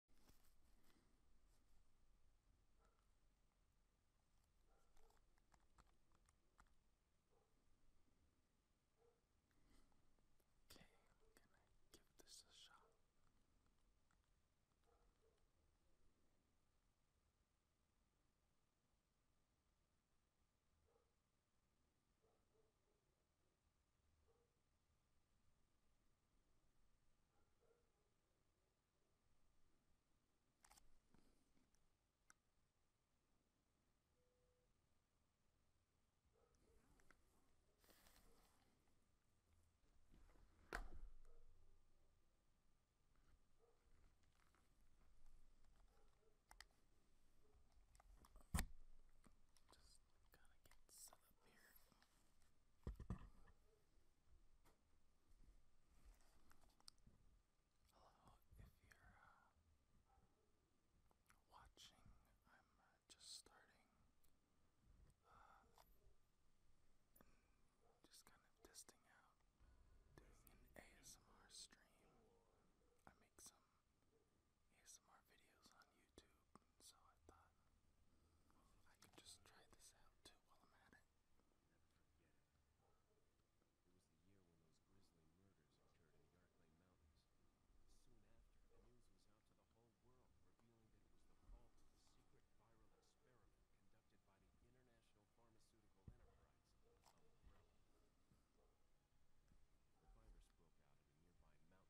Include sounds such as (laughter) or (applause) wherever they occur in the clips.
Okay, I'm gonna give this a shot. Okay. Just gotta get set up here. Hello, if you're uh, watching, I'm just uh, starting just kind of testing out doing an ASMR stream. I make some ASMR videos on YouTube, and so I thought I could just try this out too while I'm at it. Never forget it. It was the year when those grisly murders occurred in the Arklay Mountains. Soon after, the news was out to the whole world, revealing that it was the fault of a secret viral experiment conducted by the International Pharmaceutical Enterprise, Umbrella. The virus broke out at a nearby mountain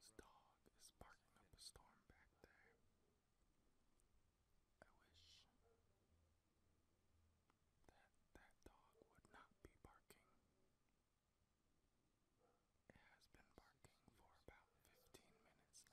Someone's dog is barking up a storm back there. I wish that that dog would not be barking. It has been barking for about 15 minutes now.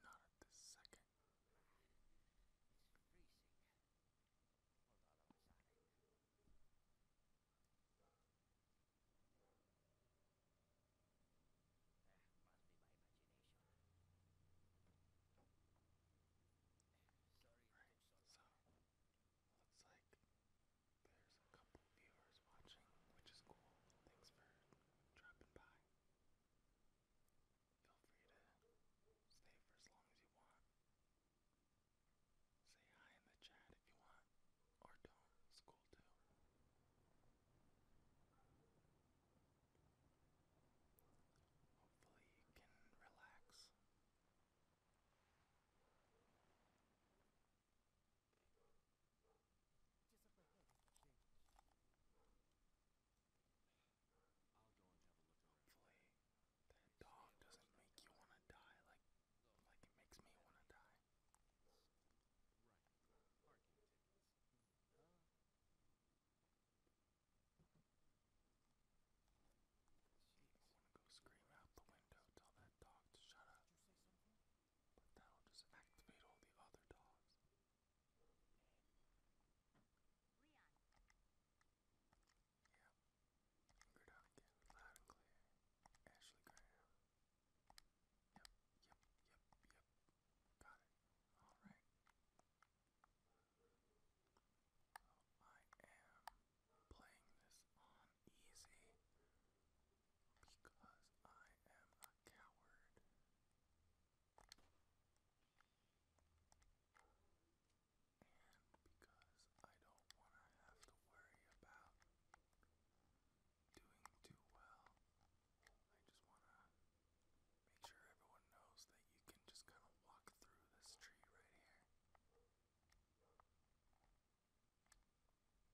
my first job would have been a rescue mission. Not at this second. It's freezing. Hold on, always on it. That must be my imagination. Sorry, right. so, so Looks like there's a couple viewers watching, which is cool. Thanks for dropping by. Feel free to stay for as long as you want. Say hi in the chat if you want, or don't. It's cool too. Hopefully, you can relax. Just up ahead is the cage. I'll go and have a look around. Hopefully, that dog doesn't make you want to die like, like it makes me want to die. Right. Parking tickets. Uh, Jeez. I want to go scream out the window, tell that dog to shut up. Did you say so? But that'll just activate all the other dogs. Leon. Yep. Good again, loud and clear. Ashley Graham. Yep, yep, yep, yep. Got it. Alright. So I am playing this on easy because I am a coward. And because I don't want to have to worry about doing too well, I just want to make sure everyone knows that you can just kind of walk through this tree right here. Something I noticed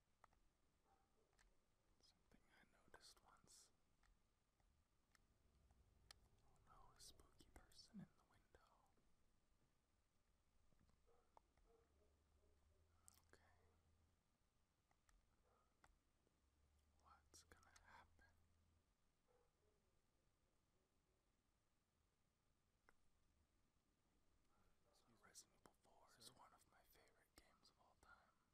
once. Oh no, a spooky person in the window. Okay. What's gonna happen? Resident Evil 4 Sir? is one of my favorite games of all time. I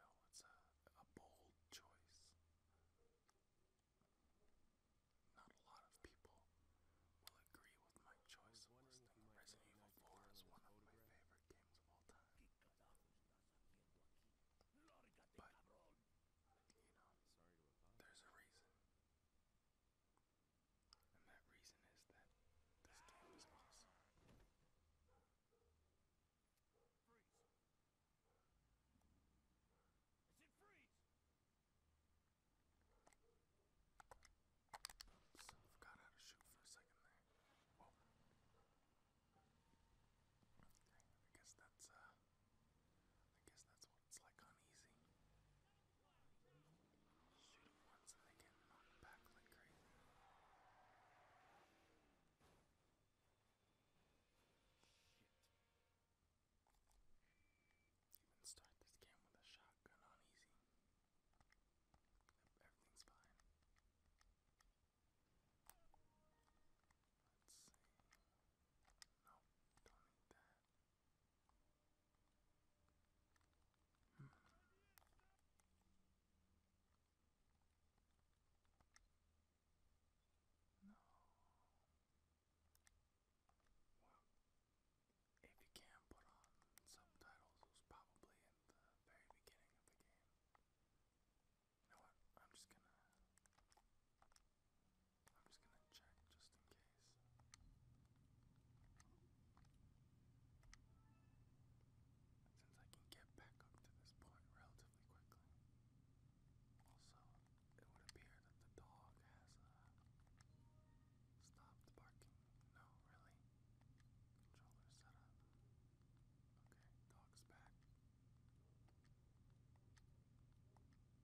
know it's a, a bold choice. Not a lot of people will agree with my choice of listing Resident Evil 4 as one of my favorite games of all time. But you there's a reason. And that reason is that this game is awesome. Freeze! I said freeze! I forgot how to shoot for a second there. Whoa. Okay, I guess that's uh I guess that's what it's like on easy. Shoot them once and they get knocked back like crazy. Shit. start this game with a shotgun on Everything's fine. Let's hmm. see. No. if you can put on subtitles, it probably in the very beginning of the game. You know what? I'm just gonna. I'm just gonna check just in case. Since I can get back up to this point relatively quickly. Also, it would appear that the dog has uh, stopped barking. No, really? Controller set Okay, dog's back.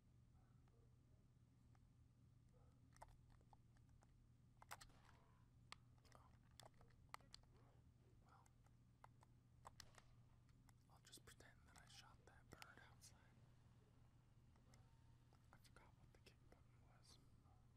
Well, I'll just pretend that I shot that bird outside. I forgot what the kick button was.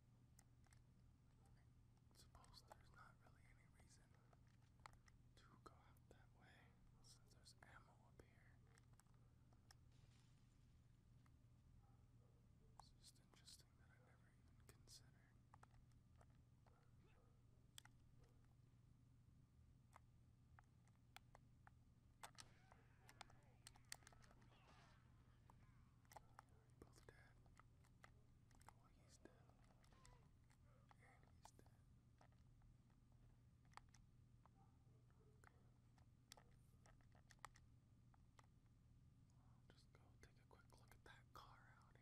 Suppose there's not really any reason to go that way since there's ammo up here. It's just interesting that I never even considered. Both dead. Well, he's dead. And he's dead. Okay. I'll just go take a quick look at that car out here.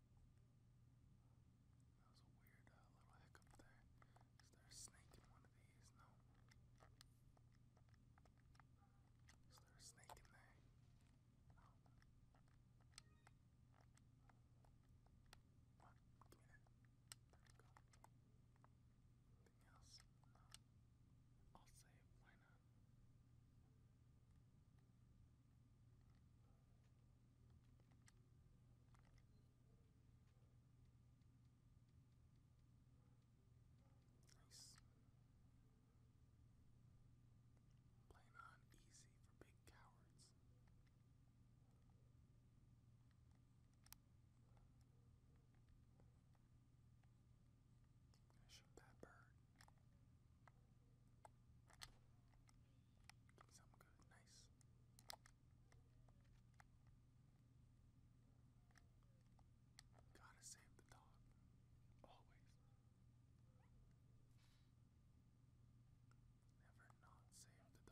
That was a weird uh, little hiccup there. Is there a snake in one of these? No. Is there a snake in there? No. What? Give There we go. Anything else? No. I'll save. Why not? Nice. Playing on easy for big cowards. I shoot that bird. Something good, Gotta save the dog. Always. Never not save the dog. just gotta be careful.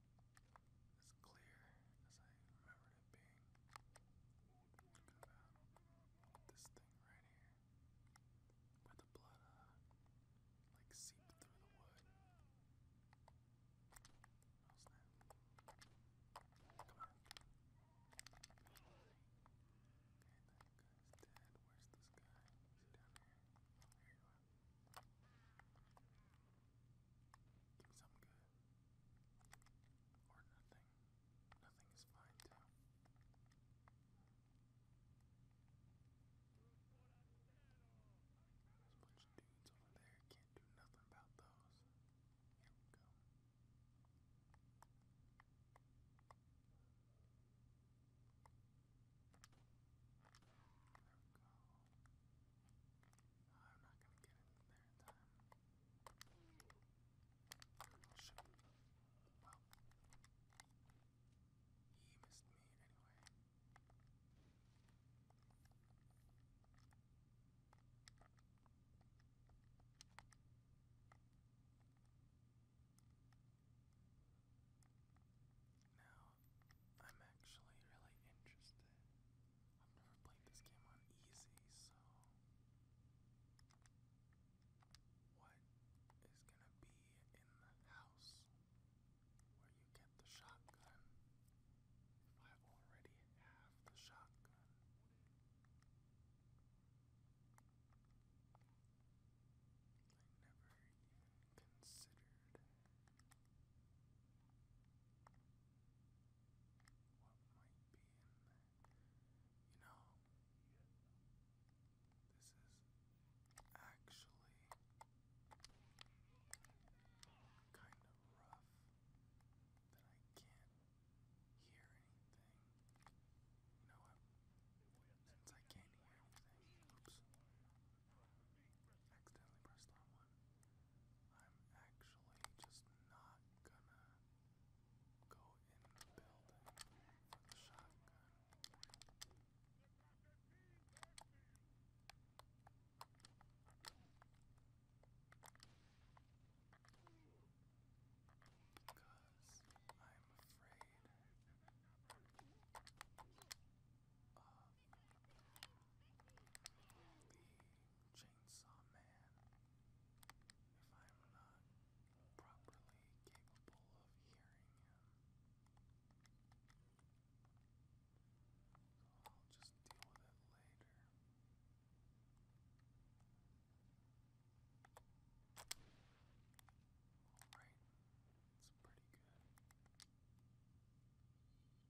as clear as I remembered it being. Look at that. This thing right here. Where the blood, uh, like seeped through the wood. Oh snap. Come on. Okay, that guy's dead. Where's this guy? Is he down here? There you are. Give me something good. Or nothing. Nothing is fine, too. There's a bunch of dudes over there. Can't do nothing about those. Here we go. There we go. I'm not gonna get there in time. Oh shit. Now, I'm actually really interested I've never played this game on easy, so what is gonna be in the house where you get the shotgun I already have the shotgun? I never even considered what might be in there. You know, this is actually kind of rough that I can't hear anything. You know Since I can't hear anything, oops, accidentally pressed on one. I'm actually just not gonna go in the building for the shotgun. Because I'm afraid of the Chainsaw Man, if I'm not properly capable of hearing him. So I'll just deal with it later. Alright, it's pretty good.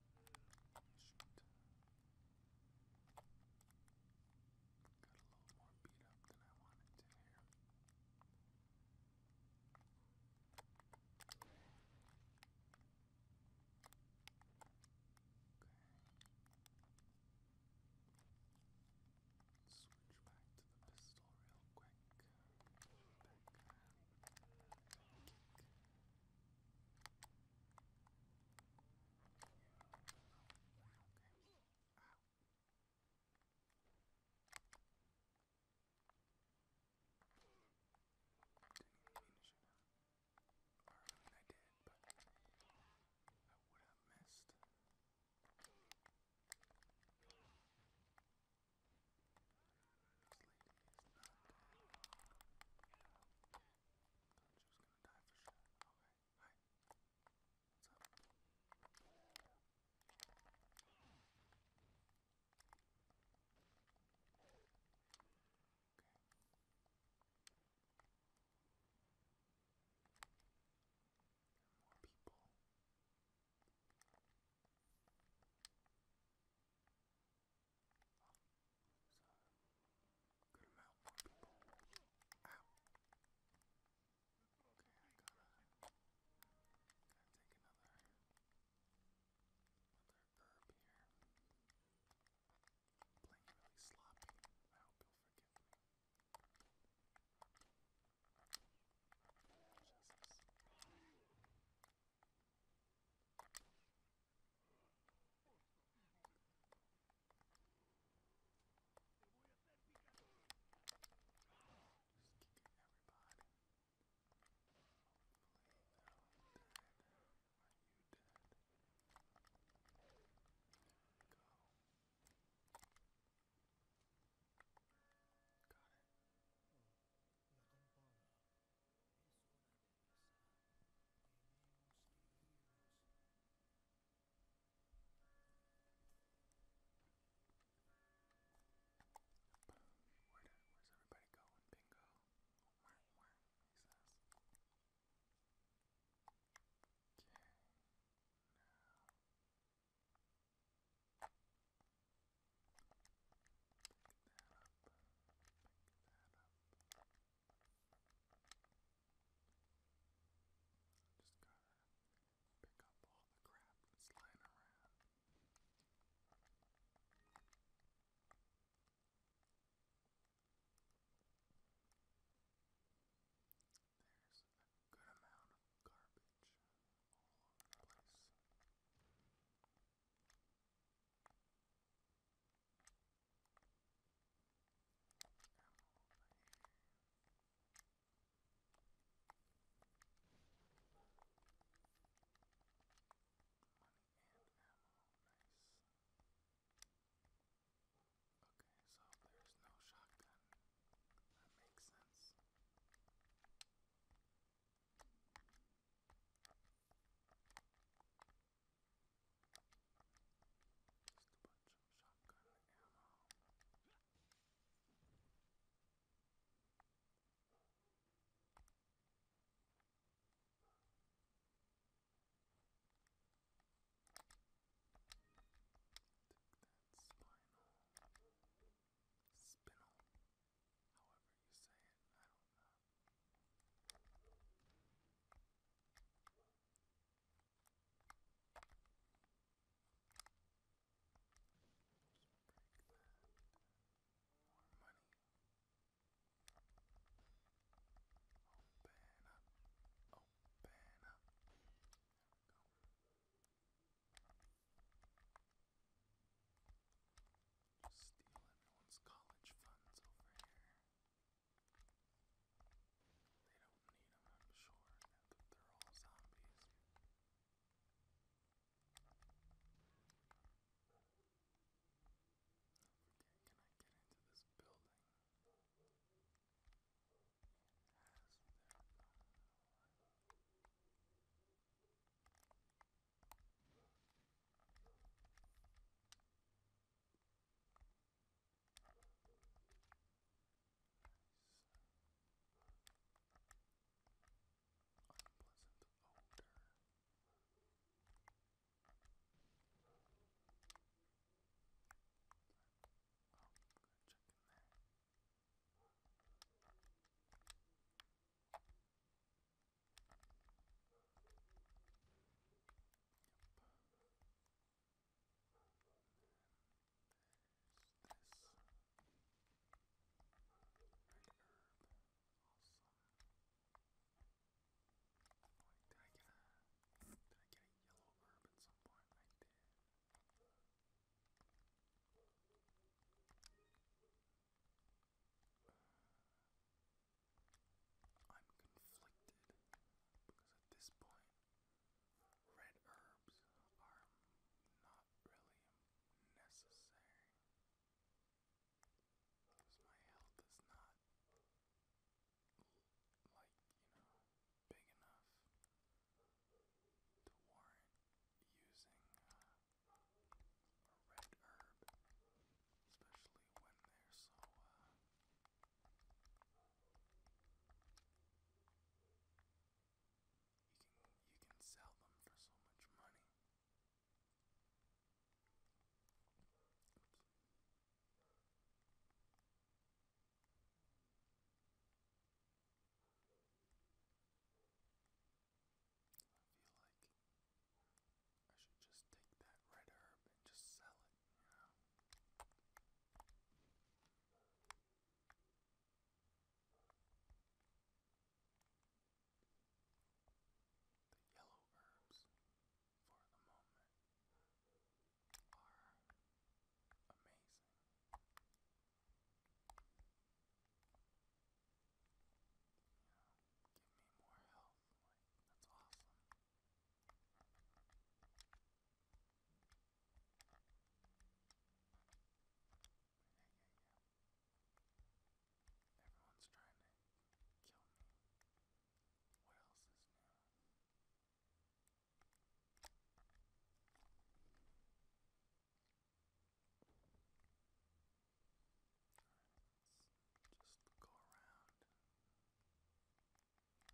Shoot. Got a little more beat up than I wanted to hear. Okay. Switch back to the pistol real quick. Didn't even mean to shoot him. Or I mean I did, but I would have missed. This lady is not dead. Thought she was gonna die for sure. Okay, hi. What's up? Okay. There are more people. So, good amount for people. Ow! Okay, I gotta, gotta take another, another burp here. I'm playing really sloppy. I hope you'll forgive me. Jesus. Just kicking everybody. Hopefully they're dead. Are you dead? There we go. Got it. La campana es una de where did, where's everybody going? Bingo. Okay. Just gotta pick up all the crap that's lying around. There's a good amount of garbage all over the place. Come over here. Money and ammo, nice. Okay, so there's no shotgun. That makes sense. Just to put some shotgun ammo. Take that spinal, spinal, however however you say it. I don't know. Just break that. More money. Open up. Open up. There we go. Steal everyone's college funds over here. They don't need them, I'm sure, now that they're all zombies. Don't forget, can I get into this building? It has their phone. Nice. Unpleasant odor. Oh, good check in there this red herb. Awesome. Like, did I get a did I get a yellow herb at some point? I did. I'm conflicted because at this point, red herbs are not really necessary. Because my health is not like, you know, big enough to warrant using uh, a red herb especially when they're so uh you can you can sell them for so much money. Oops. I feel like I should just take that red herb and just sell it, you know. The yellow herbs, for the moment, are amazing. You know, give me more health. Like, that's awesome. Yeah, yeah, yeah. Everyone's trying to kill me. What else is new? Alright, let just go around kill everybody right quick.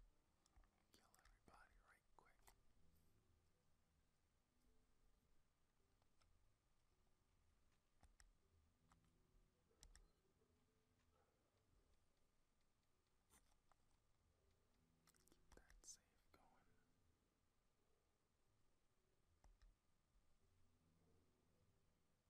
Keep that safe going.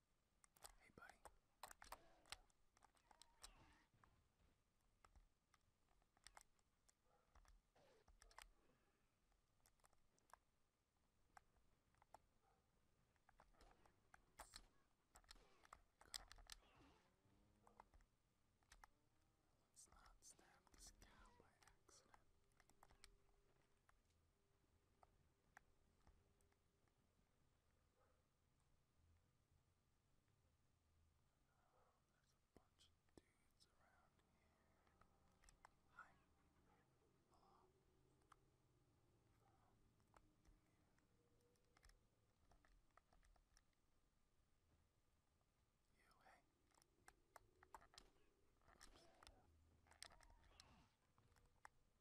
Hey, buddy. Go. Let's not stab this cow by accident. Oh, there's a bunch of dudes around here. Hi. Hello. Um, you, hey. Oops. I'll just uh, use one of these.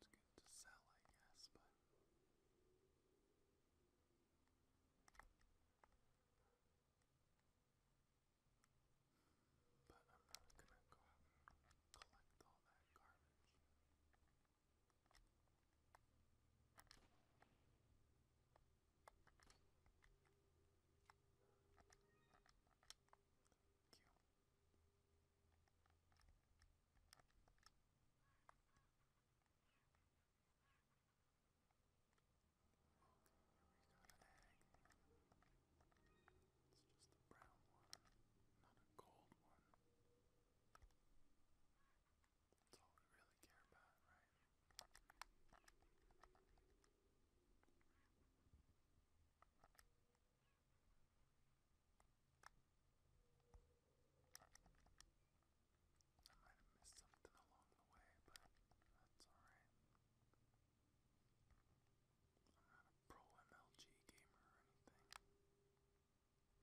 It's good to sell, I guess, but. But I'm not gonna collect all that garbage. Okay, here we got an egg. It's just a brown one, not a gold one. That's all we really care about, right? I might have missed something along the way, but that's alright. I'm not a pro MLG gamer or anything. Is there a person here? No.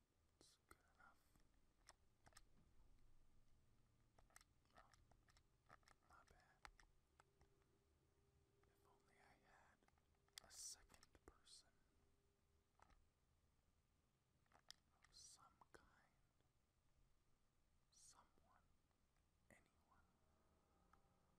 It's good If only I had a second person of some kind. Someone. Anyone. Give that egg.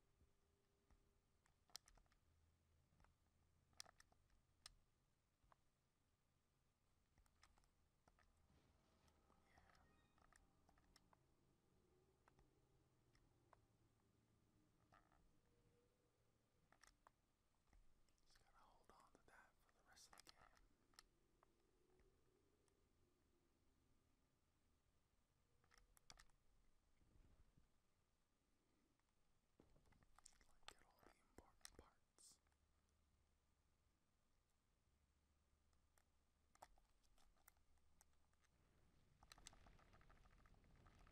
Just gotta hold on to that for the rest of the game. Like get all the important parts. Got spring.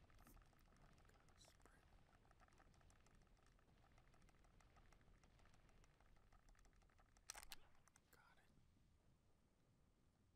Got it.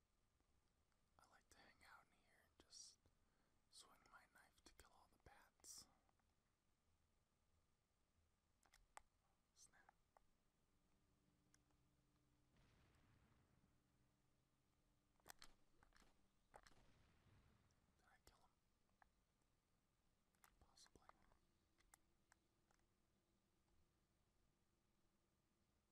I like to hang out in here and just swing my knife to kill all the bats. Snap. Did I kill him? Possibly. Come on. I can. I have plenty of ammo to go around. No, okay.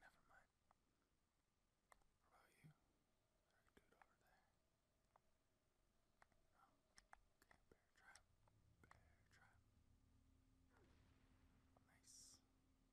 Never mind. What about you? I can do it over there. No, oh, okay. Bear trap. Bear trap. Nice.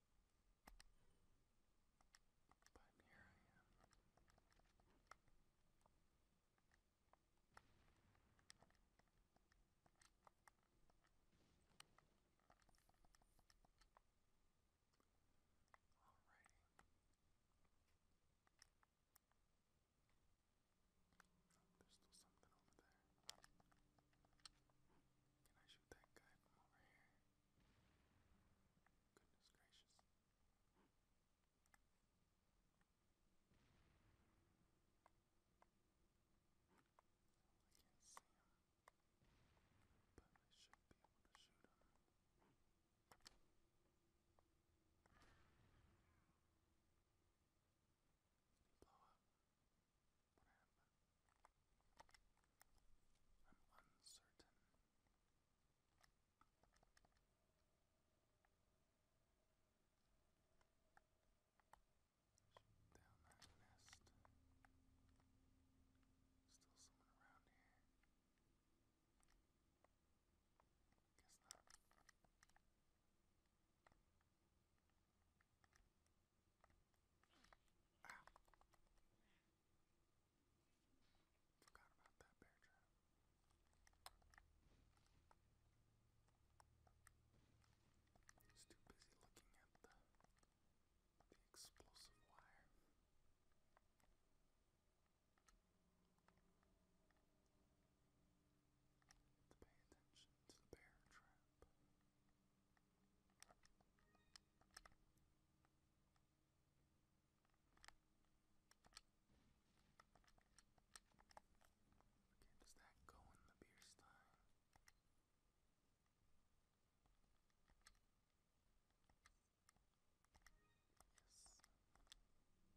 But here Alrighty. there's still something over there. Can I shoot that guy from over here? Goodness gracious. Well, I can't see him, but I should be able to shoot him. Did he blow up? What happened? I'm uncertain. down that nest. Still someone around here. Guess not. Ah. Forgot about He's too busy looking at the explosive wire. To pay attention to the bear trap. Okay, does that go in the beer stein? Yes.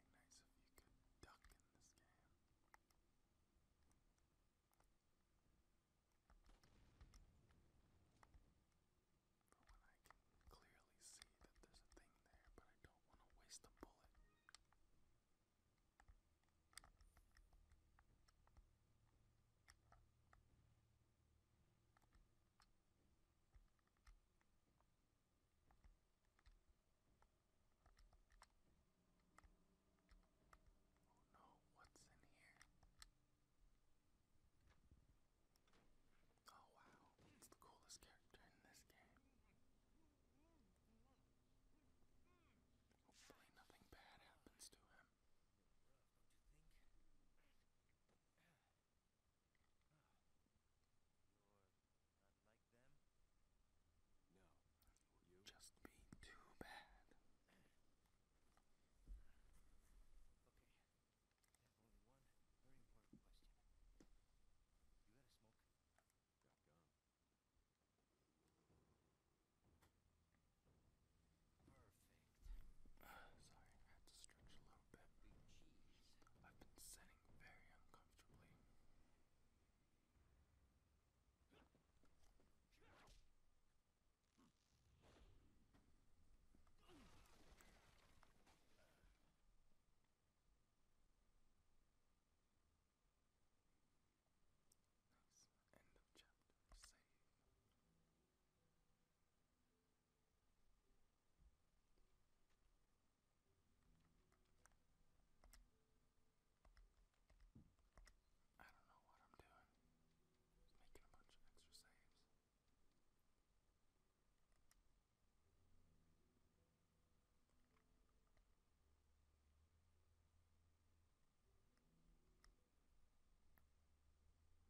really nice if you could duck in this game. But when I can clearly see that there's a thing there, but I don't want to waste a bullet. Oh no, what's in here? Oh wow, it's the coolest character in this game. Hopefully nothing bad happens to him you just be too bad. (sighs) Okay. I only one very important question. You got a smoke? Got gum. Perfect. Sorry, had to stretch a little bit. I've been sitting sitting very End of chapter. Save. I don't know what I'm doing. Just making a bunch of extra saves. Feeble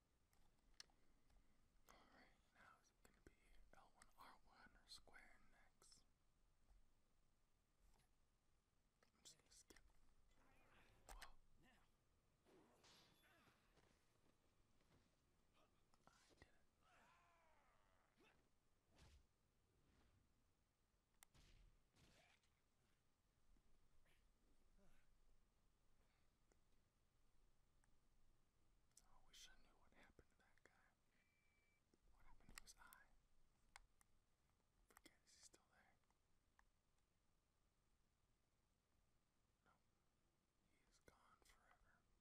Alright, now it's going to be L1, R1, or square next. I'm just going to skip. Whoa. I did it. I wish I knew what happened to that guy. What happened to his eye? Forget, is he still there? No, he is gone forever. this guy's got a lot of good things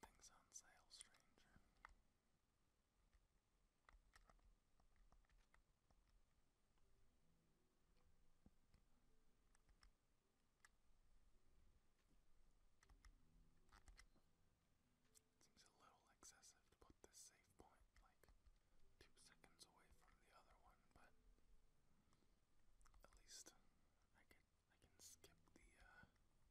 on sale, stranger. Seems a little excessive to put this save point like two seconds away from the other one, but at least I can I can skip the uh, potential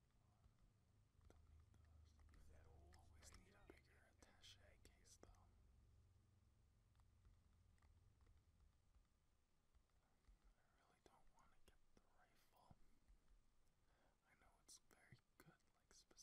do I really don't want to get the rifle. I know it's very good, like specifically for this section, but what are you buying? Honestly, I would rather just do this.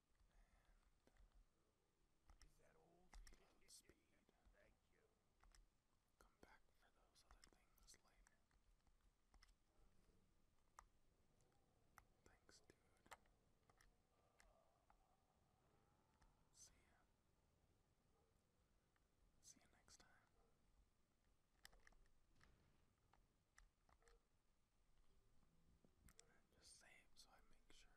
And that old reload speed. Thank you. Come back for those other things later. Thanks, dude. See ya. See you next time. Just save so I make sure I have all my stuff.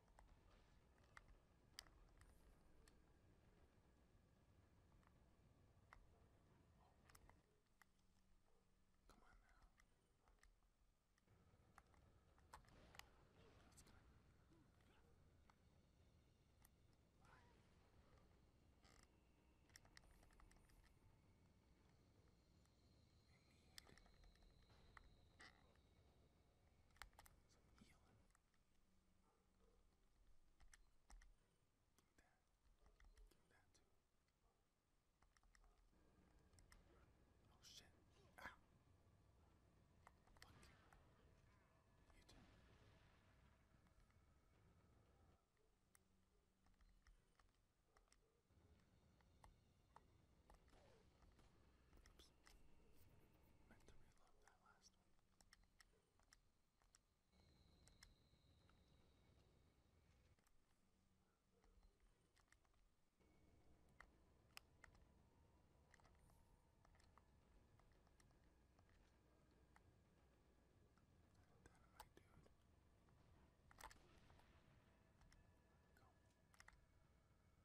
Come on now. That's gonna Bye. I need some healing. That. Give that too. Oh shit. Ow. Ah. Fuck you. You too. Oops. Meant to reload that last one. Dynamite dude. Go.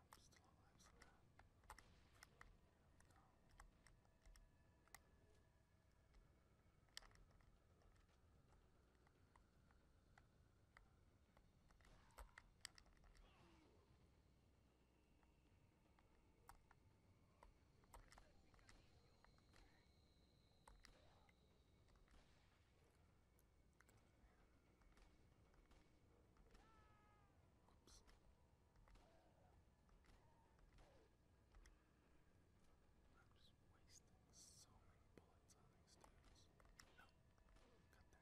I'm still alive somehow. No. Oops. I'm just wasting so many bullets on these dudes. No, cut that out. I am very unconcerned.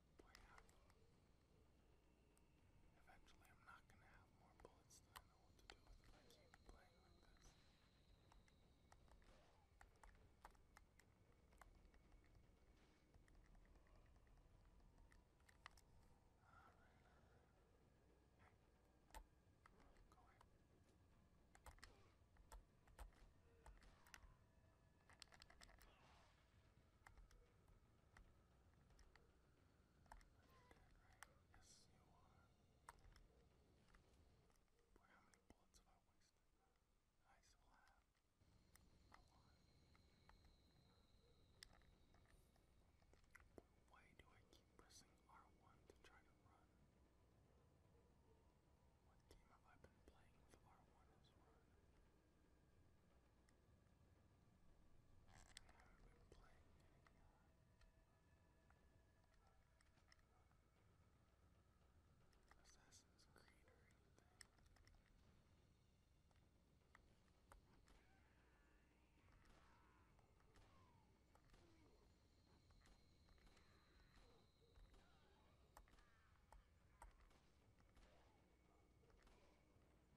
point out. Eventually, I'm not going to have more bullets than I know what to do with if I keep playing like this. Alright, alright. Hey. Go away. You're dead, right? Yes, you are. Boy, how many bullets have I wasted? I still have a lot. Why do I keep pressing R1 to try to run? What game have I been playing with R1 as well? I've been playing a, uh, Assassin's Creed or anything. I know what else it would be.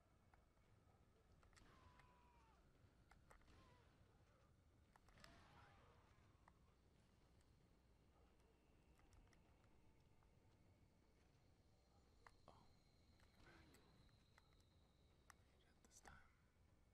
Oh, back. Made it this time. Now he is. Is that finally everyone?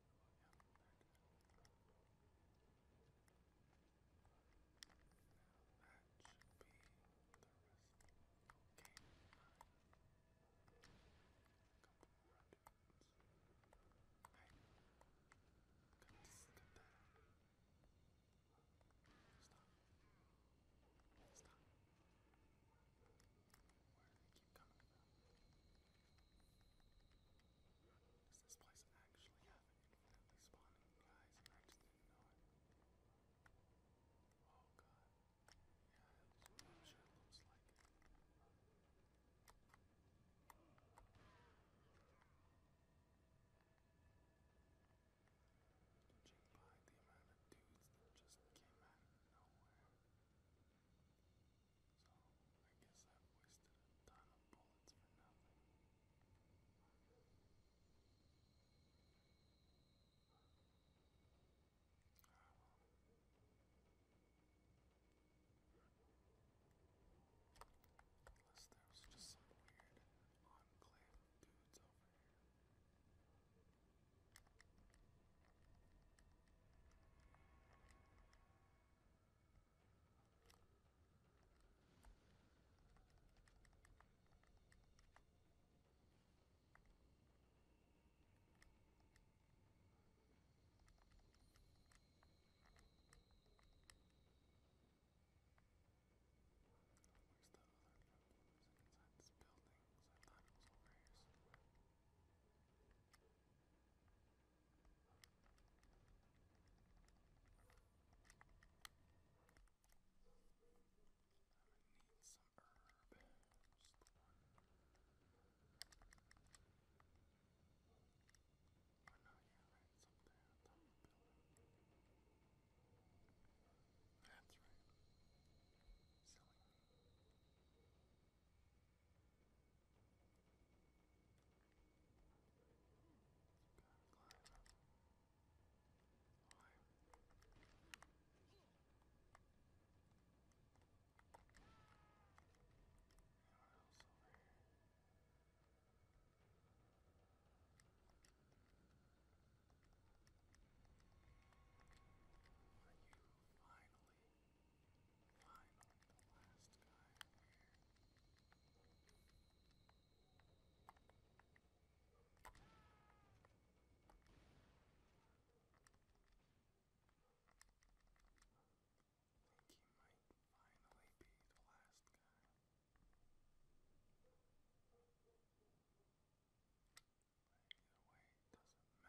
that should be the rest of the game. Couple rockets. Hey, got this, got that. Stop. Stop. Where are they keep coming from. Does this place actually have an infinitely spawning guys? I just didn't know it. Oh god. Yeah, it sure looks like it. Judging by the amount of dudes that just came out of nowhere. So I guess i wasted a ton of bullets for nothing. Unless there just some weird enclave dudes over here. Where's the other drug dealers inside this building? Because I thought it was over here somewhere need some herb. Just one. Oh no, yeah, right, it's up there on top of the building. That's right. Silly else over here? Are you finally Finally, the last guy here. I think he might finally be the last guy. But either way, it doesn't matter.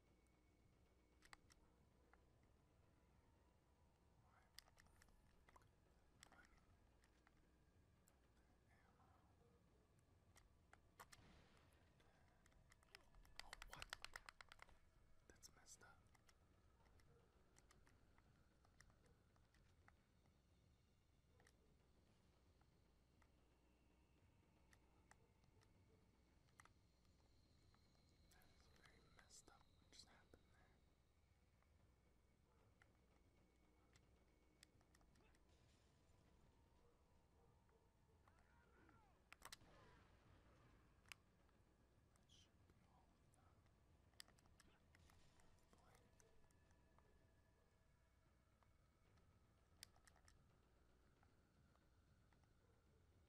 Oh, what? That's messed up. That is very messed up what just happened there. That should be all of them. Boy.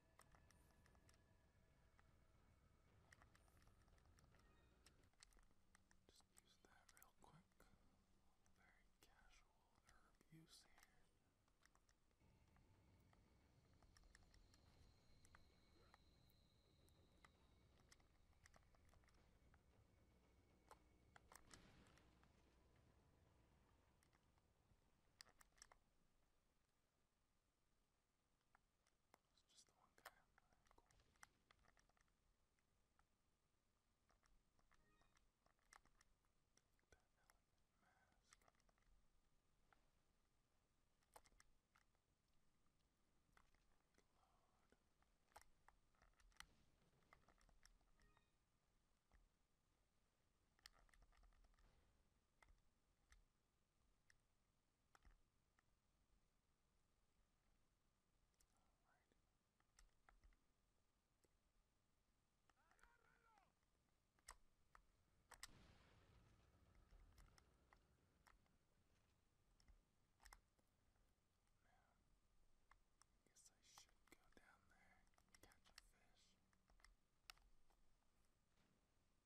Just use that real quick. Very casual herb use here. It's just the one guy. Right, cool. That element mask. Load. I guess I should go down there and catch a fish.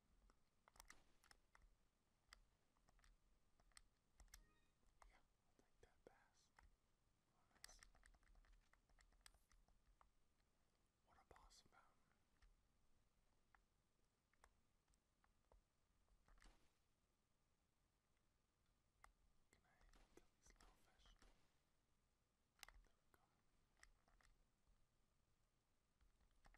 Yeah, i that pass. What a boss mountain. Can I kill these little fish? There we go. Use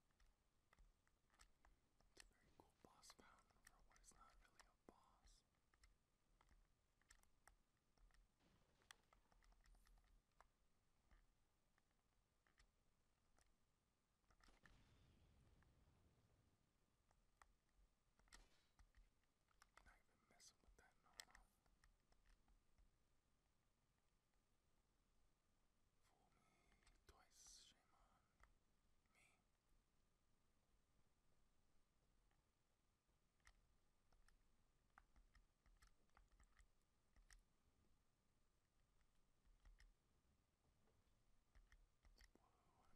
It's a very cool boss fountain for what is not really a boss. you not even messing with that no no. Fool me twice, shame on me. Whoa,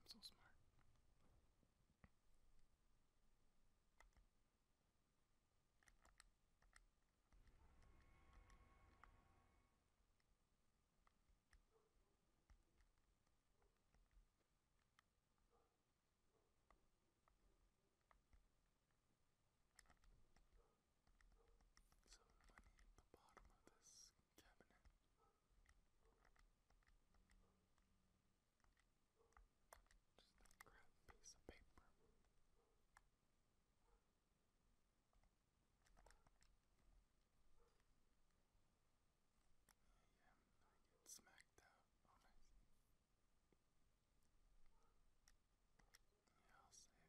I'm so smart. Some money at the bottom of this cabinet. Just a crap piece of paper. Yeah, I get smacked out. Oh, nice. Yeah, I'll save.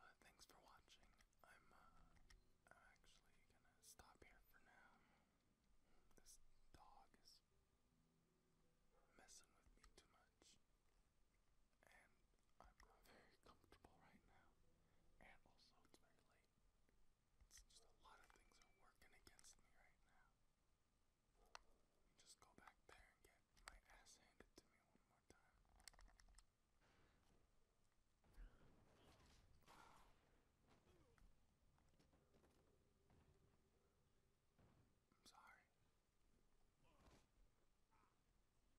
Well, uh, thanks for watching. I'm, uh, I'm actually gonna stop here for now. This dog is messing with me too much and I'm not very comfortable right now. And also, it's very late. It's just a lot of things are working against me right now. just go back there and get my ass handed to me one more time. I'm sorry.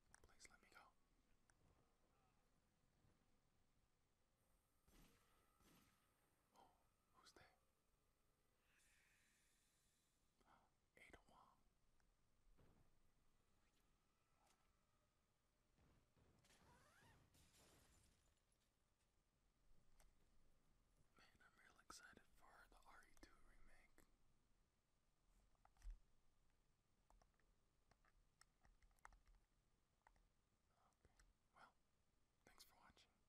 Please let me go. Oh, who's there? (gasps) Ada Wong. Man, I'm real excited for the RE2 remake. Okay, well, thanks for watching.